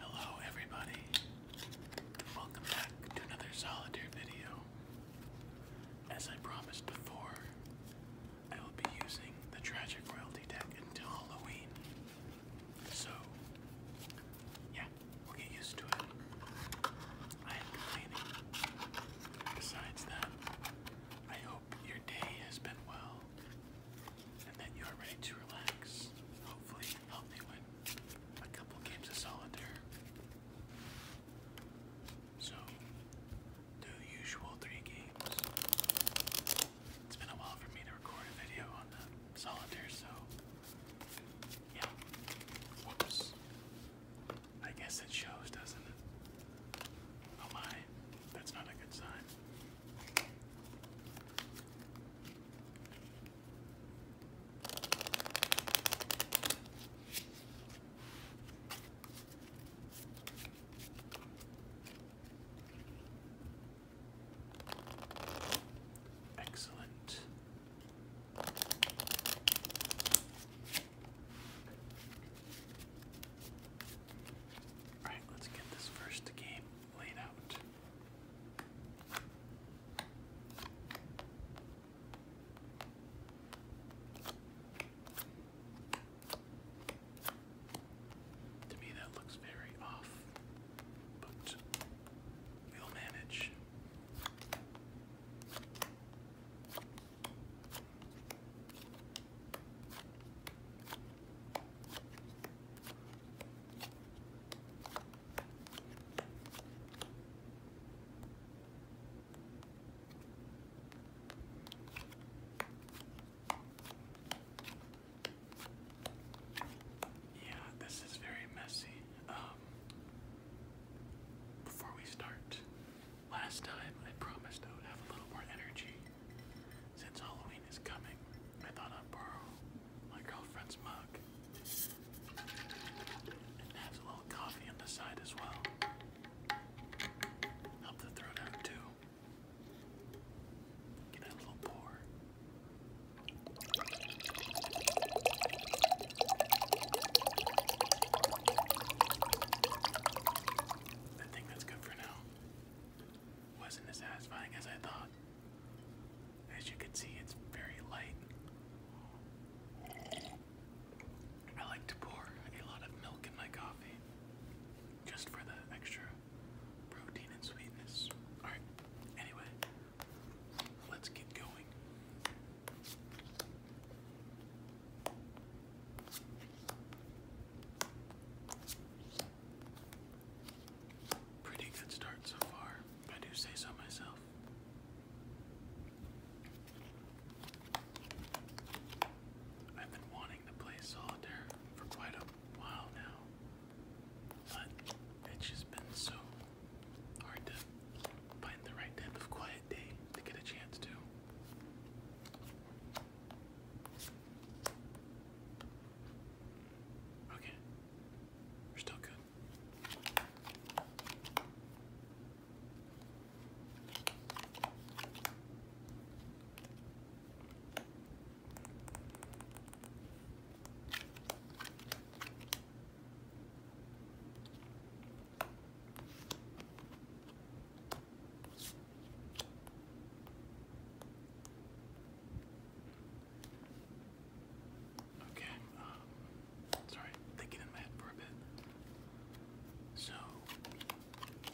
Hello, everybody, welcome back to another solitaire video. As I promised before, I will be using the Tragic Royalty deck until Halloween. So, yeah, We'll get used to it. I am complaining. Besides that, I hope your day has been well and that you are ready to relax. Hopefully, help you win a couple games of solitaire. So, the usual three games. It's been a while for me to record a video on the solitaire, so yeah. Whoops. I guess it shows, doesn't it? Oh my, that's not a good sign. Excellent. Alright, let's get this first game laid out. To me, that looks very off, but We'll manage. Yeah, this is very messy. Um, before we start, last time I promised I would have a little more energy. Since Halloween is coming, I thought I'd borrow my girlfriend's mug. It has a little coffee on the side as well. Help the throat out too. Get a little pour. I think that's good for now. Wasn't as satisfying as I thought. As you can see, it's very light. I like to pour a lot of milk in my coffee just for the extra protein and sweetness. Alright, anyway, Let's get going. Pretty good start so far, I do say so myself. I've been wanting to play solitaire for quite a while now. But it's just been so hard to find the right type of quiet day to get a chance to. Okay. We're still good. Okay, um, sorry, thinking in my head for a bit. So,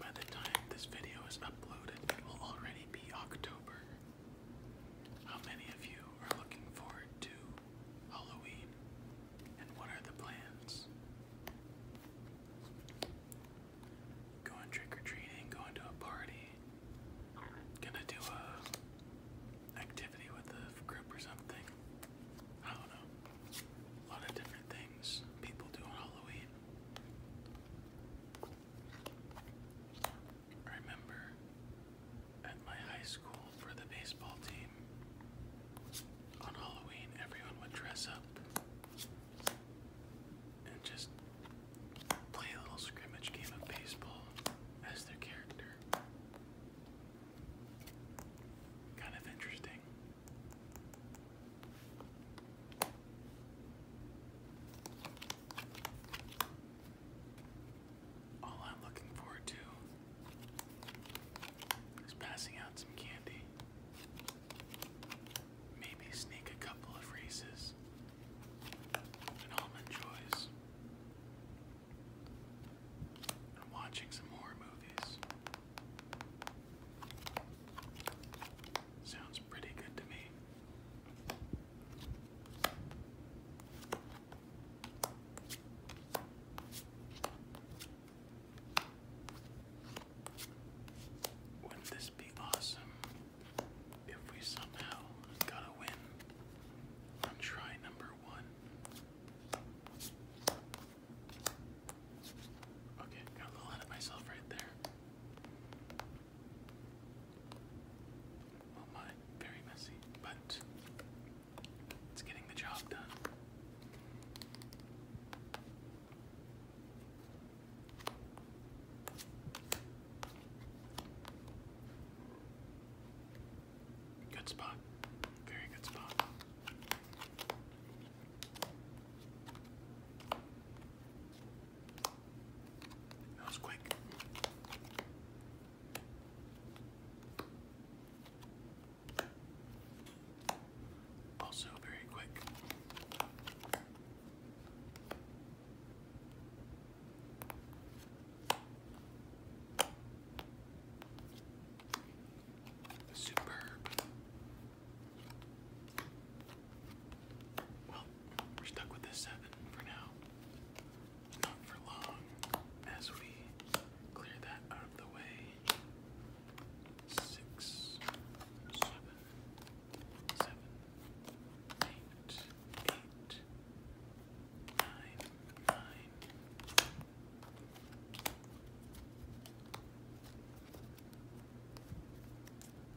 by the time this video is uploaded, it will already be October. How many of you are looking forward to Halloween and what are the plans? Going trick or treating, going to a party, gonna do a activity with a group or something. I don't know. A lot of different things people do on Halloween remember at my high school for the baseball team, on Halloween everyone would dress up and just play a little scrimmage game of baseball as their character. Kind of interesting. All I'm looking forward to is passing out some candy. Maybe sneak a couple of races and almond joys. And watching some more movies. Sounds pretty good to me. Wouldn't this be awesome if we somehow got a win on try number one? Okay, got a little ahead of myself right there. Oh my, very messy, but it's getting the job done. Good spot. Very good spot. That was quick. Also very quick. Superb. Well, we're stuck with this seven for now. Not for long as we clear that out of the way. Six, seven, seven, eight, eight, nine, nine.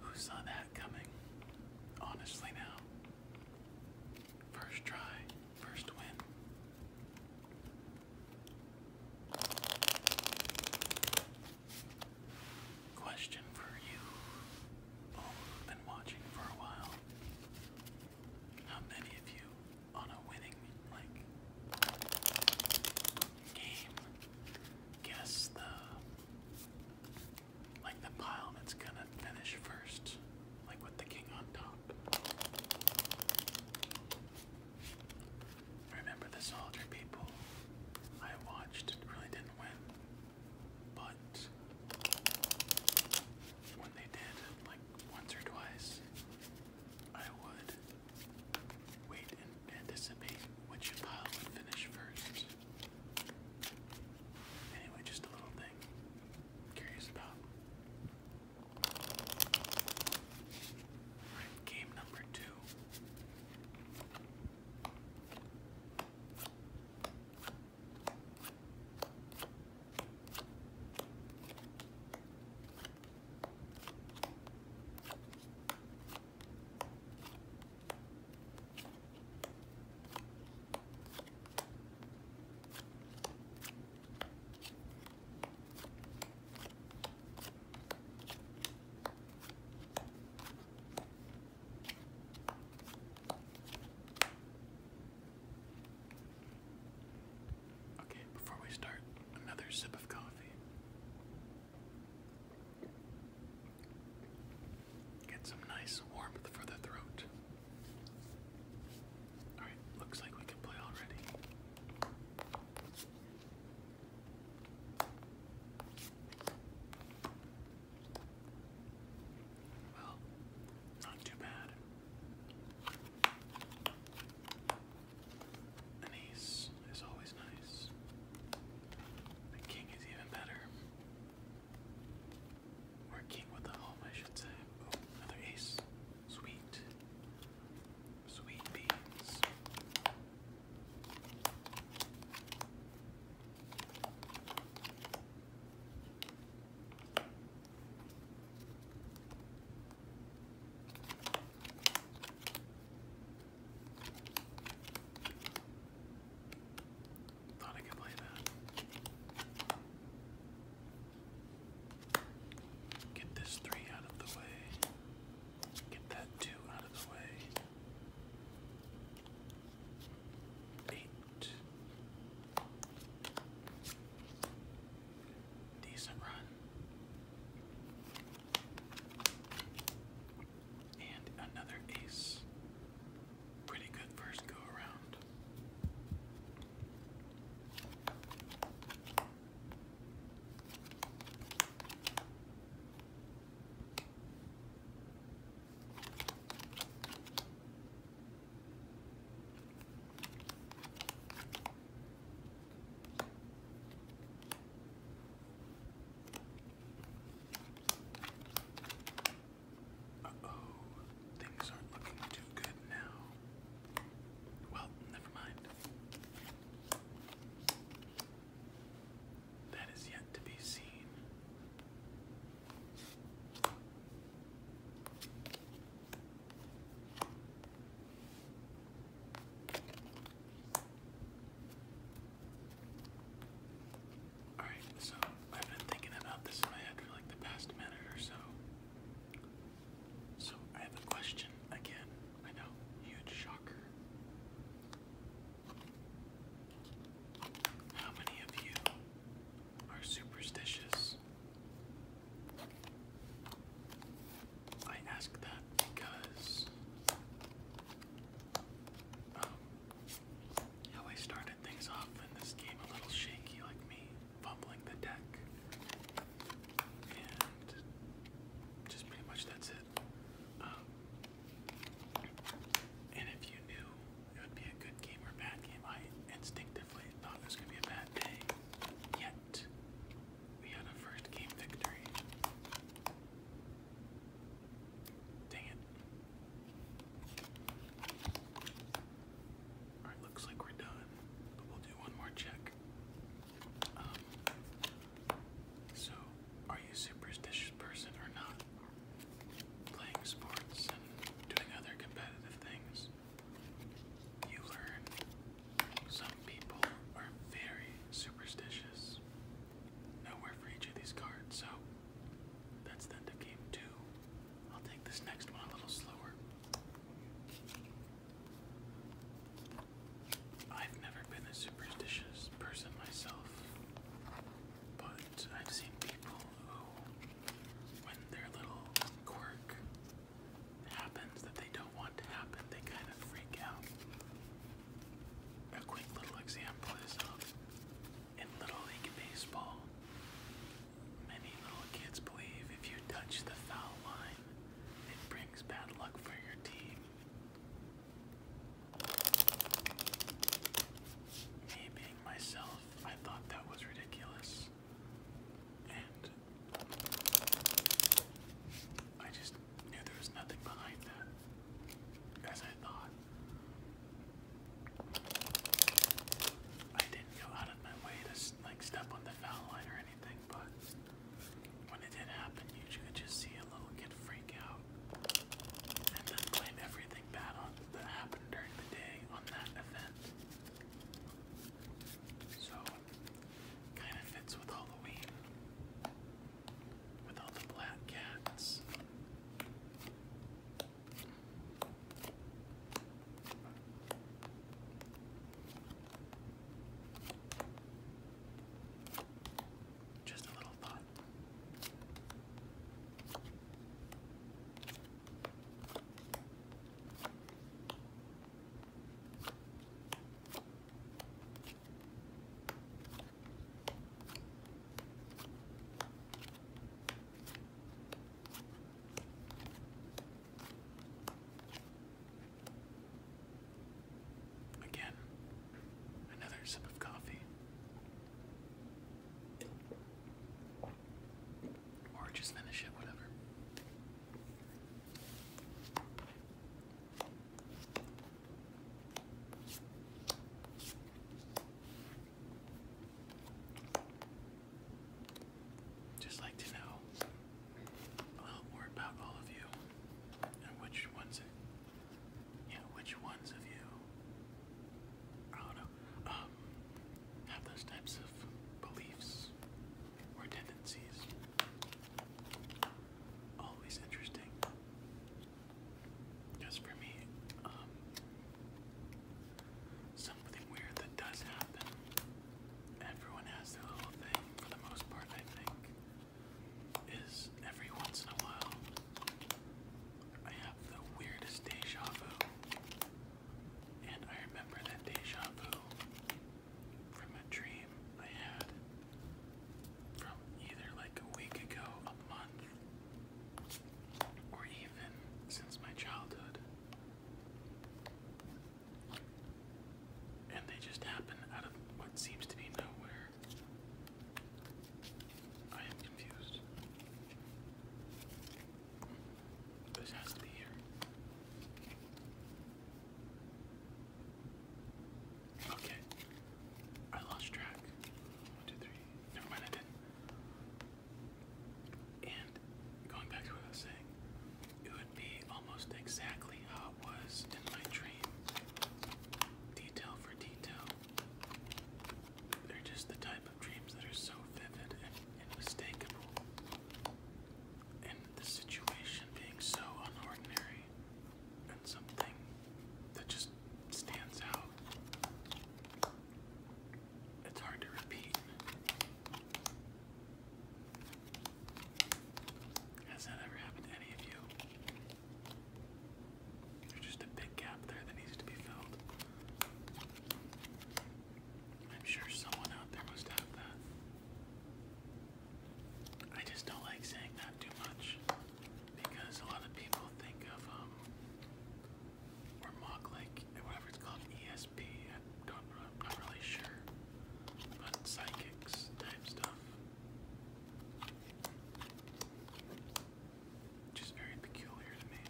who saw that coming? Honestly, now. First try, first win. Question for you. All oh, who've been watching for a while. How many of you on a winning like Guess the like the pile that's gonna finish first, like with the king on top. Remember the soldier people? I watched, really didn't win, but when they did, like once or twice, I would Wait and anticipate which pile would finish first. Anyway, just a little thing. curious about. game number two. Okay, before we start, another sip of coffee. Get some nice warmth for the throat. Alright, looks like we can play already. Well, not too bad. An ace is always nice. A king is even better. Or king with a home, I should say. Oh, another ace. Sweet. Sweet beans. Thought I could play that. Get this three out of the way. Get that two out of the way. Eight. Decent run. And another ace. Pretty good first go around. Uh oh, things aren't looking too good now. Well, never mind. That is yet to be seen. Alright, so I've been thinking about this in my head for like the past minute or so. So I have a question again. I know, huge shocker. How many of you are superstitious? I ask that because um, how I started things off in this game a little shaky, like me fumbling the deck, and just pretty much that's it. Um, and if you knew it would be a good game or bad game, I instinctively thought this was be a bad day, yet we had a first game victory. Dang it. Alright, looks like we're done, but we'll do one more check. Um, so, are you a superstitious person or not? Playing sports and doing other competitive things you learn some people are very superstitious. Nowhere for each of these cards, so that's the end game two. I'll take this next one a little slower. I've never been a superstitious person myself, but I've seen people who, when their little quirk happens that they don't want to happen, they kind of freak out. A quick little example is um, in Little League Baseball, many little kids believe if you touch the foul line, it brings bad luck for your team. Me being myself, I thought that was ridiculous. And I just knew there was nothing behind that, as I thought. I didn't go out of my way to like step on the foul line or anything, but when it did happen, you could just see a little kid freak out and then blame everything bad on that happened during the day on that event. So, kind of fits with Halloween, with the black cats. Just a little thought. Again, another sip of coffee. Or just finish it, whatever. Just like to know a little more about all of you and which ones, yeah, which ones of you, I do um, have those types of beliefs or tendencies. Always interesting. Because for me, um, something weird that does happen. Everyone has their little thing, for the most part, I think, is every once in a while I have the weirdest deja vu. And I remember that deja vu from a dream I had from either like a week ago, a month, or even since my childhood. And they just happen out of what seems to be nowhere. I am confused. This has to be here. Okay. I lost track. One, two, three. Never mind, I did And going back to what I was saying, it would be almost exactly how it was in my dream. Detail for detail. They're just the type dreams that are so vivid and unmistakable, and the situation being so unordinary, and something that just stands out. It's hard to repeat. Has that ever happened to any of you? There's just a big gap there that needs to be filled. I'm sure someone out there must have that. I just don't like saying that too much because a lot of people think of um, or mock like whatever it's called ESP. I'm not really sure, but psychics type stuff. Just very peculiar to me.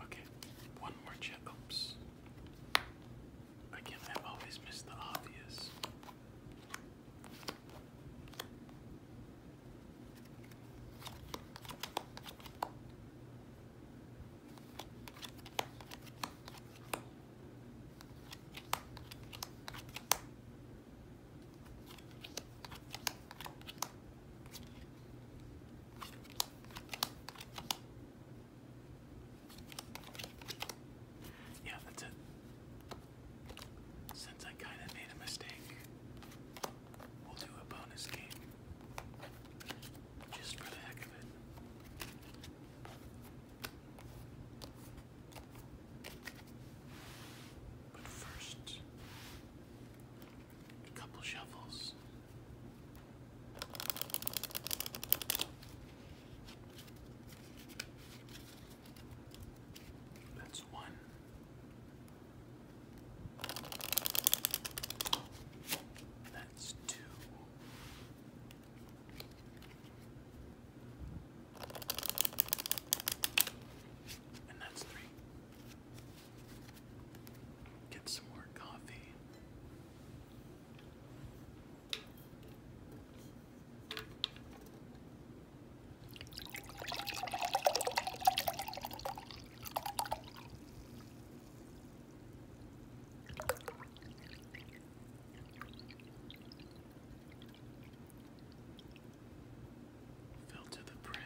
Okay, one more chip. Oops. Again, I always miss the obvious. Yeah, that's it. Since I kind of made a mistake, we'll do a bonus game. Just for the heck of it. But first, a couple shovels. That's one. That's two. And that's three. Get some more coffee. Fell to the brim.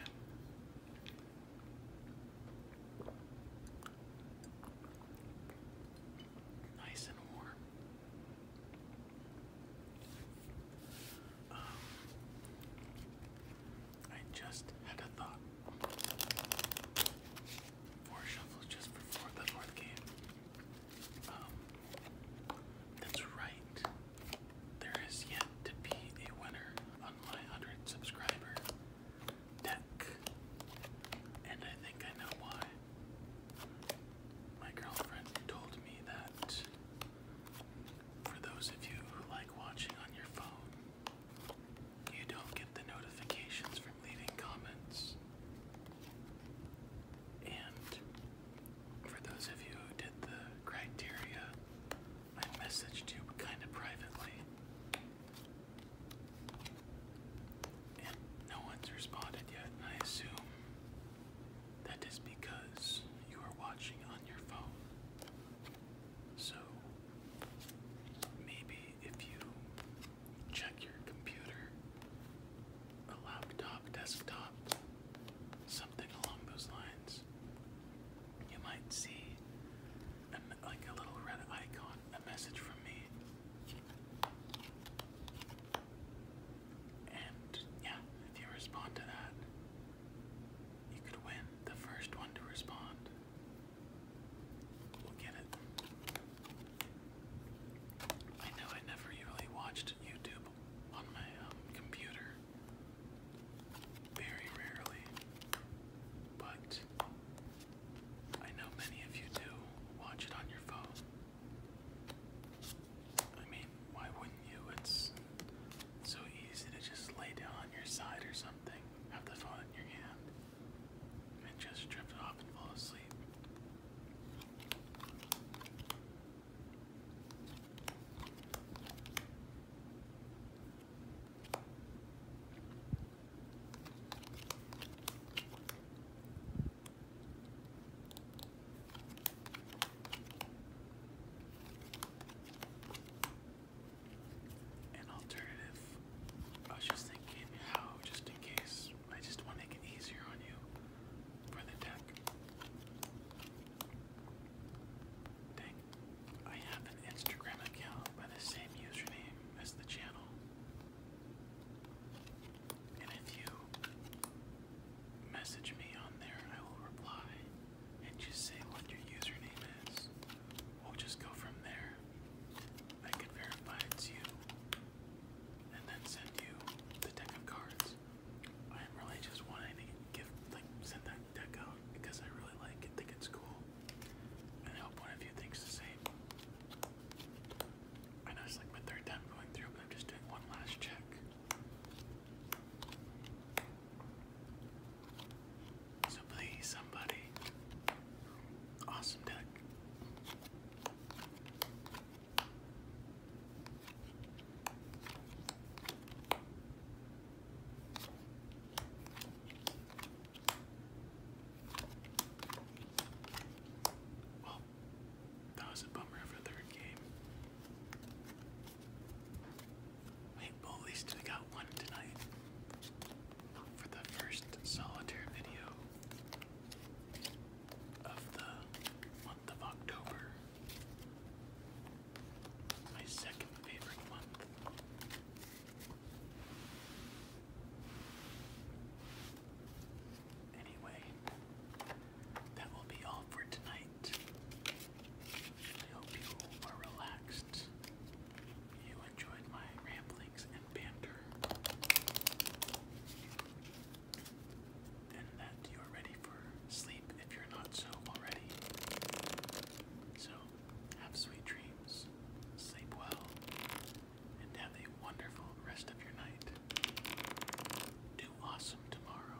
Nice and warm. Um, I just had a thought four shuffles just for four, the fourth game. Um, that's right. There is yet to be a winner on my 100 subscriber deck. And I think I know why. My girlfriend told me that for those of you who like watching on your phone, you don't get the notifications from leaving comments. And for those of you who did the criteria, I messaged you kind of privately. And no one's responded yet, I assume that is because you are watching on your phone. So maybe if you check your computer, a laptop, desktop, something along those lines, you might see like a little red icon, a message from me. And yeah, if you respond to that, you could win the first one to respond. Look at it. I know I never really watched YouTube on my um, computer. Very rarely. But I know many of you do watch it on your phone. I mean, why wouldn't you? It's so easy to just lay down on your side or something, have the phone in your hand, and just drift off and fall asleep an alternative. I was just thinking how, just in case, I just want to make it easier on you for the deck. Dang, I have an Instagram account by the same username as the channel. And if you message me on there, I will reply and just say what your username is we'll just go from there. I can verify it's you and then send you the deck of cards. I am really just wanting to give, like, send that deck out because I really like it, think it's cool, and I one of you thinks the same. I know it's like my third time going through, but I'm just doing one last check. So please, somebody. Awesome deck. Well, that was a bummer of a third game. Wait, at least we got one tonight for the first solitaire video of the month of October. My second favorite month. Anyway, that will be all for tonight. I hope you are relaxed you enjoyed my ramblings and banter, and that you are ready for sleep if you're not so already. So, have sweet dreams, sleep well, and have a wonderful rest of your night. Do awesome tomorrow.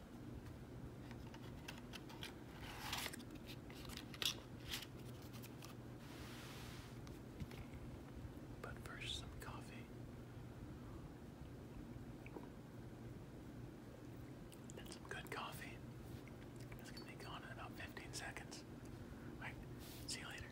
But first, some coffee. some good coffee. It's gonna be gone in about 15 seconds. Alright, see you later.